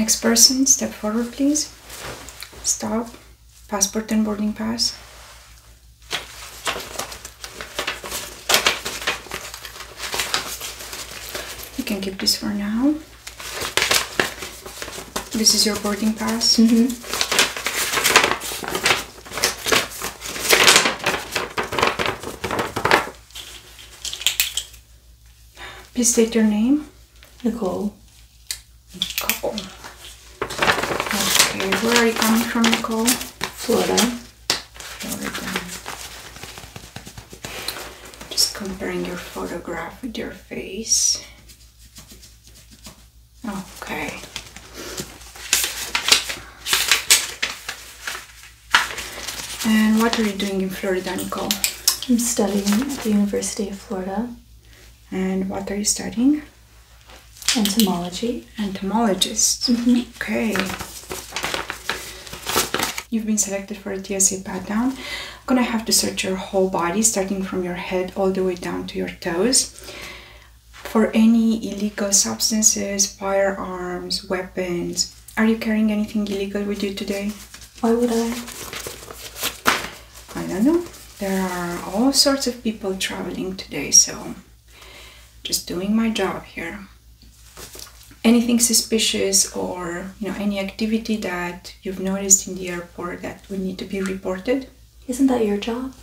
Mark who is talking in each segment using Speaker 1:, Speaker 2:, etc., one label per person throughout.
Speaker 1: Next person, step forward, please. Stop. Passport and boarding pass. You can keep this for now. This is your boarding pass. Mm-hmm. Please state your name. Nicole. Nicole. Okay, where are you coming from, Nicole? Florida. Florida. Just comparing your photograph with your face. Okay. And what are you doing in Florida, Nicole? I'm studying at the University of Florida. And what are you studying? Entomology. Entomologist. Mm-hmm. Okay. You've been selected for a TSA pat down. I'm gonna have to search your whole body, starting from your head all the way down to your toes for any illegal substances, firearms, weapons. Are you carrying anything illegal with you today? Why would I? I don't know. There are all sorts of people traveling today, so just doing my job here. Anything suspicious or you know any activity that you've noticed in the airport that would need to be reported? Isn't that your job?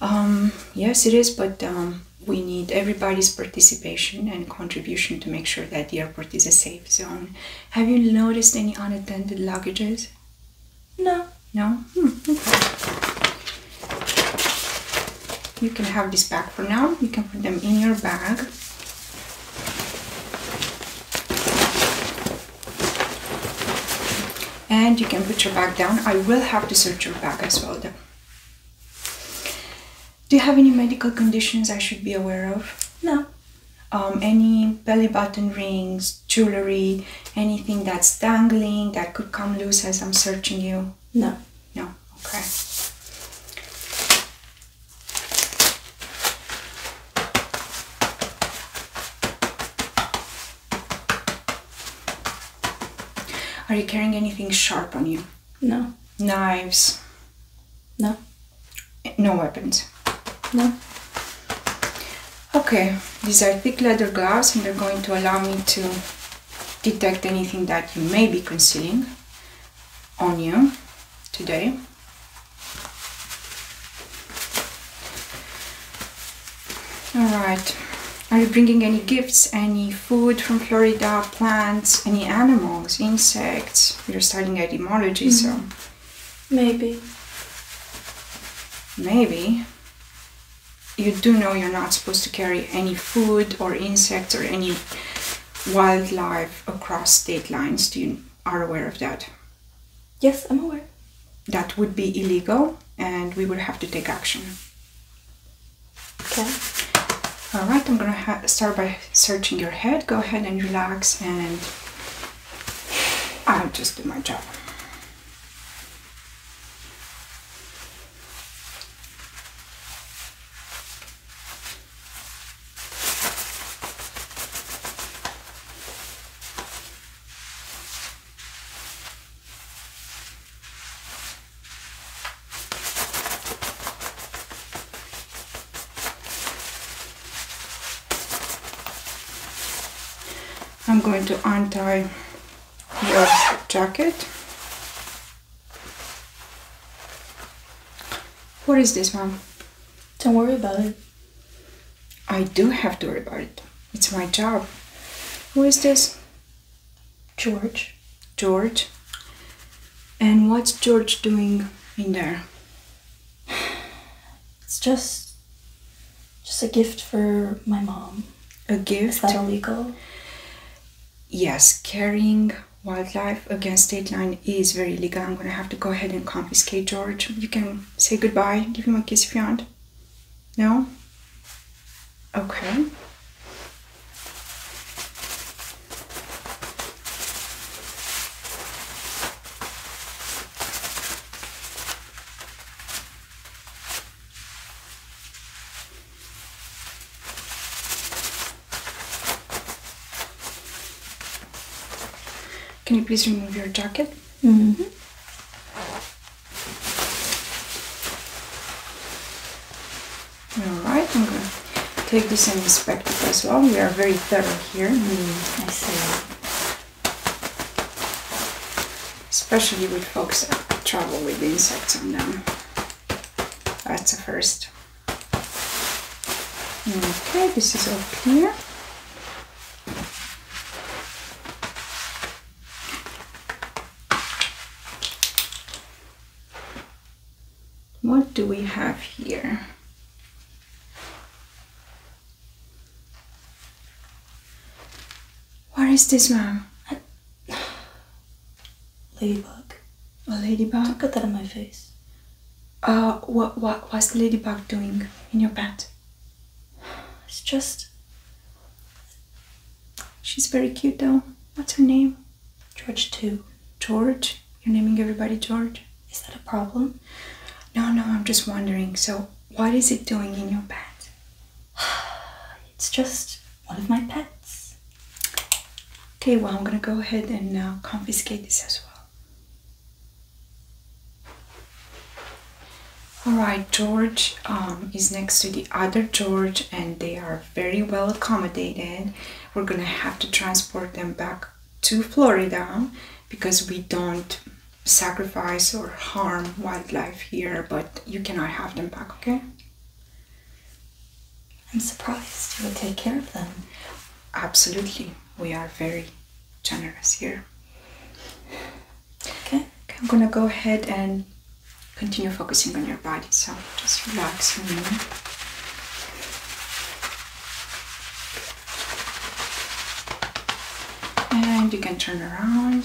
Speaker 1: Um, yes, it is, but um, we need everybody's participation and contribution to make sure that the airport is a safe zone. Have you noticed any unattended luggages? No. No? Hmm, okay. You can have this bag for now. You can put them in your bag. And you can put your bag down. I will have to search your bag as well though. Do you have any medical conditions I should be aware of? No. Um, any belly button rings, jewelry, anything that's dangling that could come loose as I'm searching you? No. No. Okay. Are you carrying anything sharp on you? No. Knives? No. No weapons? No. Okay, these are thick leather gloves and they're going to allow me to detect anything that you may be concealing on you today. All right. Are you bringing any gifts, any food from Florida, plants, any animals, insects? You're studying etymology, so. Mm-hmm. Maybe. Maybe. You do know you're not supposed to carry any food or insects or any wildlife across state lines. Do you are aware of that? Yes, I'm aware. That would be illegal and we would have to take action. Okay. All right, I'm gonna start by searching your head. Go ahead and relax, and I'll just do my job. I'm going to untie your jacket. What is this, Mom? Don't worry about it. I do have to worry about it. It's my job. Who is this? George. George. And what's George doing in there? It's just just a gift for my mom. A gift? that illegal? Yes, carrying wildlife against state line is very illegal. I'm gonna have to go ahead and confiscate George. You can say goodbye, give him a kiss if you want. No? Okay. Can you please remove your jacket? Mm -hmm. Alright, I'm going to take this and inspect it as well. We are very thorough here. I see. Especially with folks that travel with insects on them. That's the first. Okay, this is up here. What do we have here? What is this, ma'am? Ladybug. A ladybug? Don't that in my face. Uh, what, what, what's the ladybug doing in your bed? It's just She's very cute though. What's her name? George too. George? You're naming everybody George? Is that a problem? No, no, I'm just wondering. So, what is it doing in your bed? it's just one of my pets. Okay, well, I'm gonna go ahead and uh, confiscate this as well. All right, George um, is next to the other George, and they are very well accommodated. We're gonna have to transport them back to Florida because we don't sacrifice or harm wildlife here, but you cannot have them back, okay? I'm surprised you would take care of them. Absolutely. We are very generous here. okay I'm gonna go ahead and Continue focusing on your body, so just relax And you can turn around.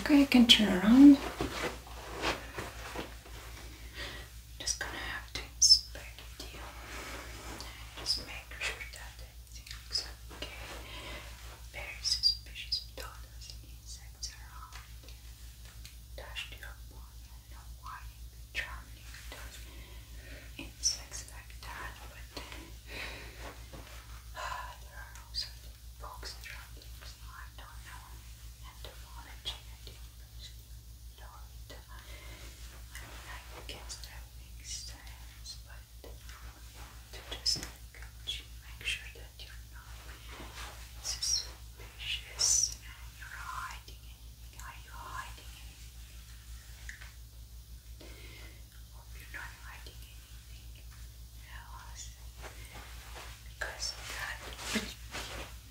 Speaker 1: Okay, I can turn around. Just gonna have to inspect you and just make sure that everything looks okay. Very suspicious dollars and insects around. Dashed your bone. not why you've insects like that, but uh, there are also bugs traveling, I don't know. Entomology, I didn't personally know I mean, I that makes sense, but to just make sure that you're not suspicious and you're hiding anything. Are you hiding anything? Hope you're not hiding anything else because that would be hiding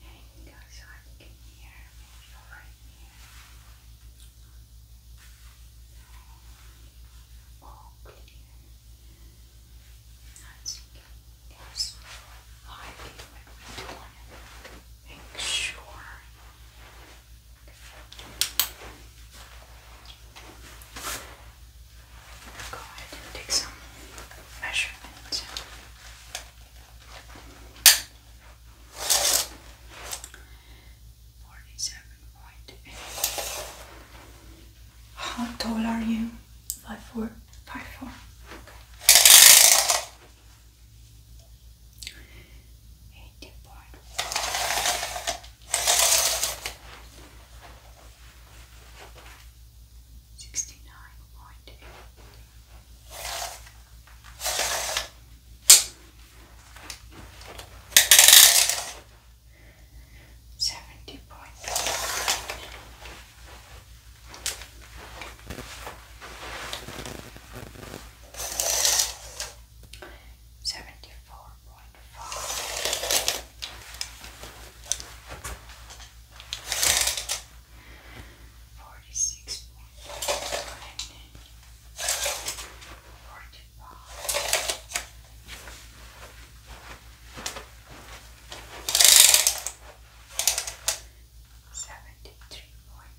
Speaker 1: There you go, so I can hear maybe right here. All clear. That's yes. I think we want to make sure go ahead and take some measurements. Forty-seven point eight. How tall are you? Five four. Five four. Okay. Eighty point. Sixty nine point eight, seventy point one, seventy 4.5. Forty-six point nine, forty-five, seventy-three point one,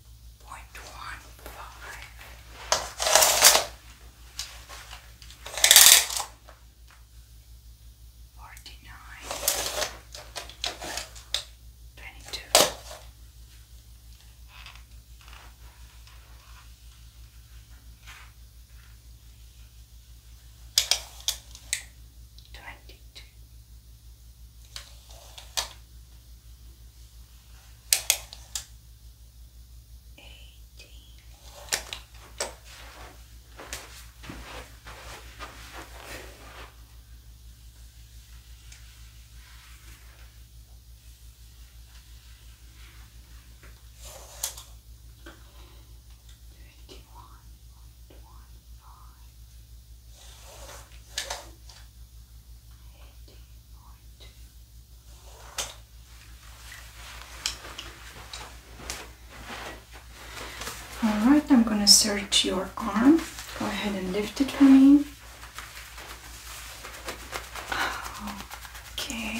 Speaker 1: point one five forty nine twenty two Twenty two, eighteen. Twenty one point one five eighteen all right, I'm gonna search your arm. Go ahead and lift it for me. Okay.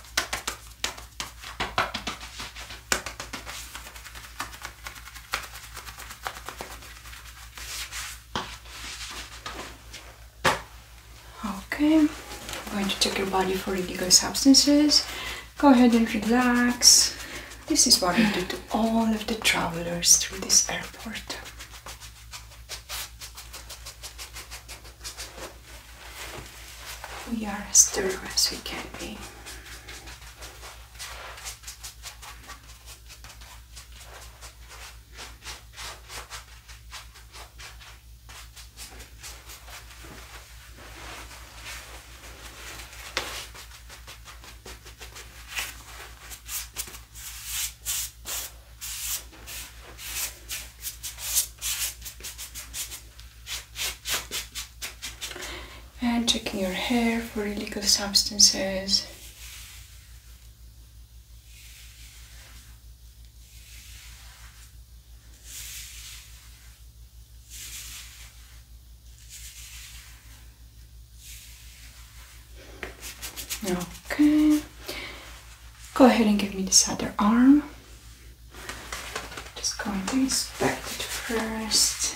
Speaker 1: Okay, I'm going to check your body for illegal substances. Go ahead and relax. This is what I do to all of the travelers through this airport. We are as thorough as we can be and checking your hair for illegal substances. Okay, Go ahead and give me this other arm. Just going to inspect it first.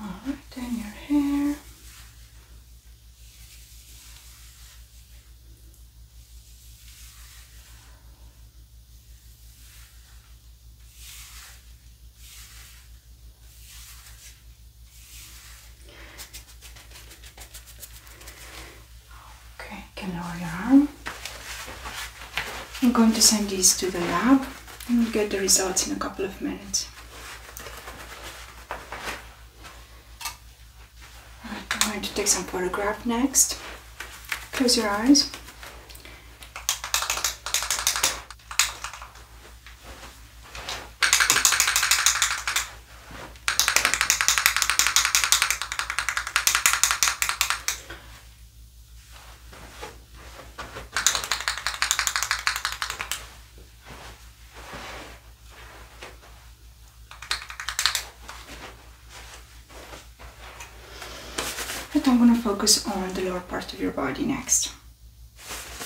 Speaker 1: All right, then your hair. Okay, can lower your arm. I'm going to send these to the lab and we'll get the results in a couple of minutes. I'm going to take some photograph next. Close your eyes. But I'm gonna focus on the lower part of your body next.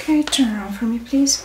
Speaker 1: Okay, turn around for me, please.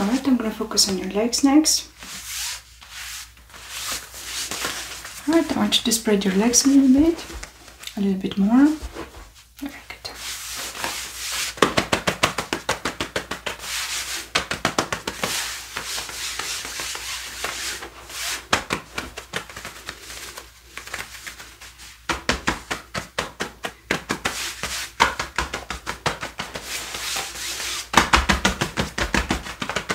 Speaker 1: All right, I'm going to focus on your legs next. All right, I want you to spread your legs a little bit, a little bit more. Very good.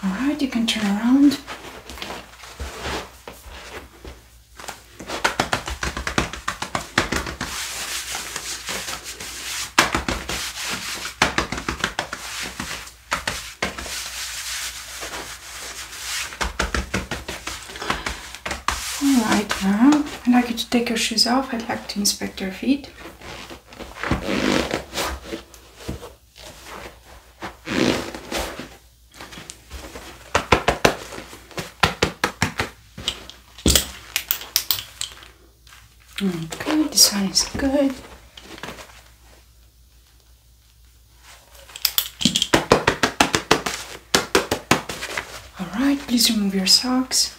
Speaker 1: All right, you can turn around. Alright I'd like you to take your shoes off. I'd like to inspect your feet. Okay, this one is good. All right, please remove your socks.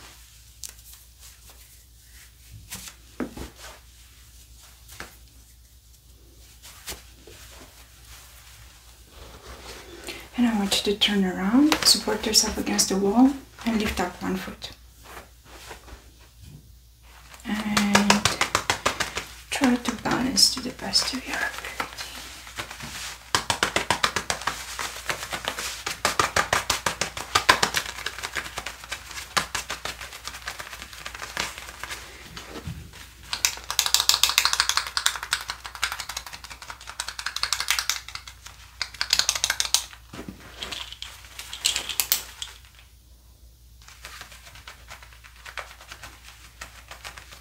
Speaker 1: And I want you to turn around, support yourself against the wall, and lift up one foot. And try to balance to the best of your ability.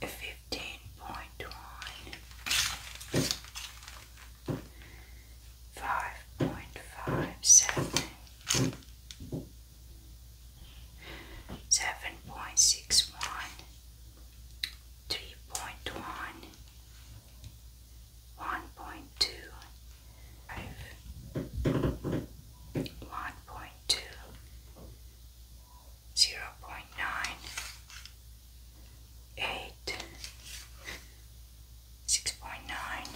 Speaker 1: fifteen point one, five point five seven, seven point six one, three point one, one point two, five, one point two. 0 0.9 6.9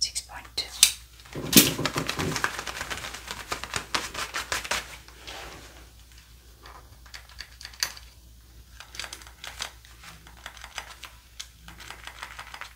Speaker 1: 6.2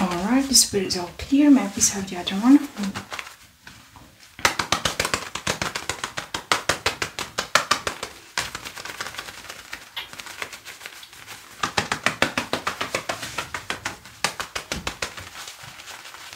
Speaker 1: Alright, the spirit is all clear. Maybe so the other one.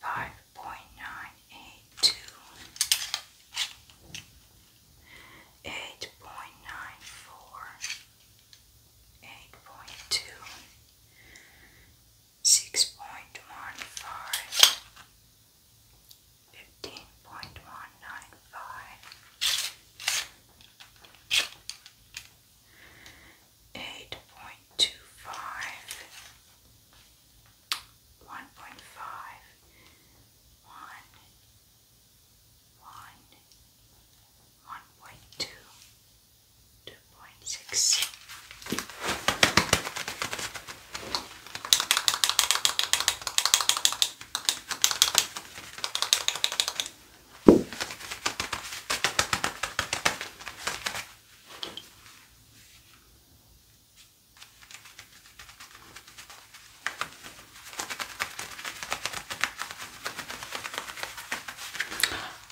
Speaker 1: Five point nine eight two, eight point nine four, eight point two, six point one five, fifteen point one nine five, eight point two five, one point five, one, one, one point two, two point six.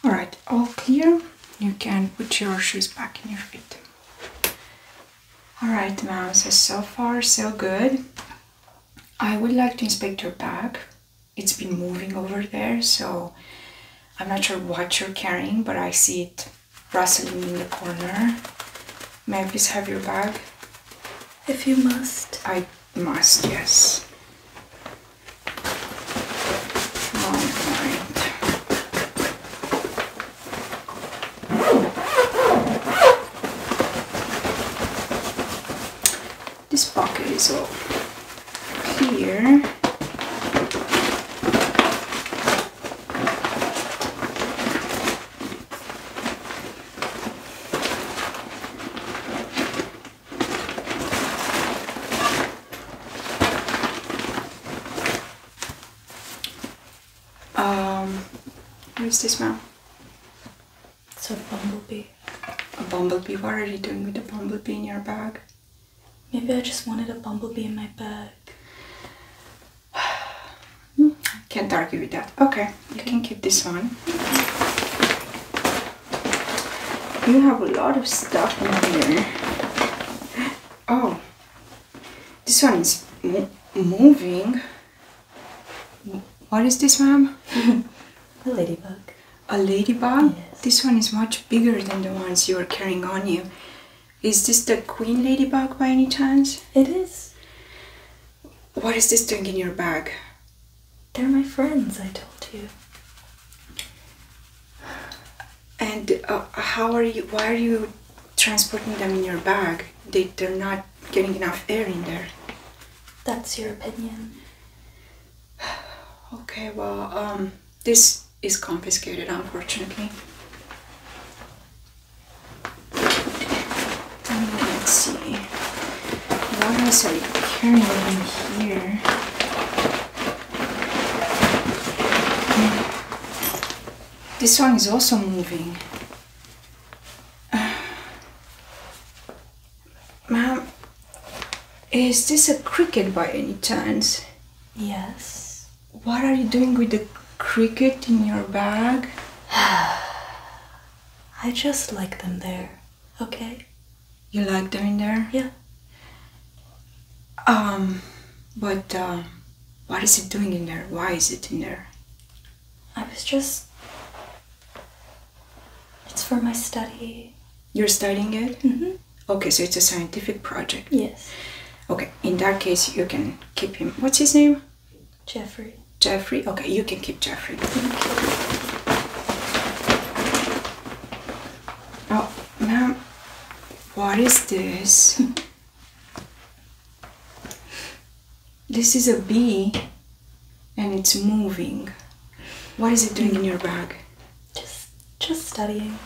Speaker 1: All right, all clear. You can put your shoes back in your feet. All right, ma'am, so, so far so good. I would like to inspect your bag. It's been moving over there, so I'm not sure what you're carrying, but I see it rustling in the corner. May I please have your bag? If you must. I must, yes. All right. This pocket is all here. Um, Where is this smell? It's a bumblebee. A bumblebee? What are you doing with a bumblebee in your bag? Maybe I just wanted a bumblebee in my bag. Can't argue with that. Okay, you can keep this one. You have a lot of stuff in here. Oh, this one is moving. What is this, ma'am? a ladybug. A ladybug? This one is much bigger than the ones you are carrying on you. Is this the queen ladybug by any chance? It is. What is this thing in your bag? They're my friends, I told you. And uh, how are you? Why are you transporting them in your bag. They, they're not getting enough air in there. That's your opinion. Okay, well, um, this is confiscated, unfortunately. Let's see. What else are you carrying in here? Hmm. This one is also moving. Ma'am, is this a cricket by any chance? Yes. What are you doing with the cricket in your bag? I just like them there, okay? You like them in there? Yeah. Um, but uh, what is it doing in there? Why is it in there? I was just. It's for my study. You're studying it? Mm-hmm. Okay, so it's a scientific project? Yes. Okay, in that case, you can keep him. What's his name? Jeffrey. Jeffrey? Okay, you can keep Jeffrey. Oh, ma'am, what is this? This is a bee and it's moving. What is it doing in your bag? Just just studying.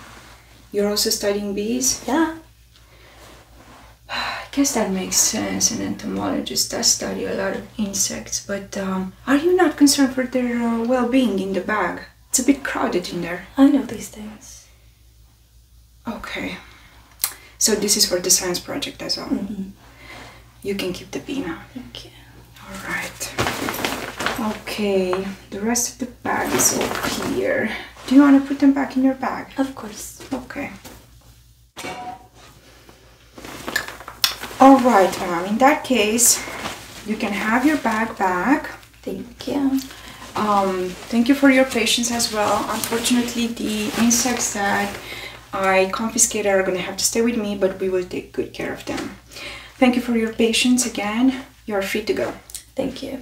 Speaker 1: You're also studying bees? Yeah. I guess that makes sense. An entomologist does study a lot of insects, but um, are you not concerned for their uh, well being in the bag? It's a bit crowded in there. I know these things. Okay. So this is for the science project as well. Mm-hmm. You can keep the pina. Thank you. All right. Okay. The rest of the bag is all here. Do you want to put them back in your bag? Of course. Okay. All right, mom. In that case, you can have your bag back. Thank you. Um, thank you for your patience as well. Unfortunately, the insects that I confiscated are going to have to stay with me, but we will take good care of them. Thank you for your patience again. You are free to go. Thank you.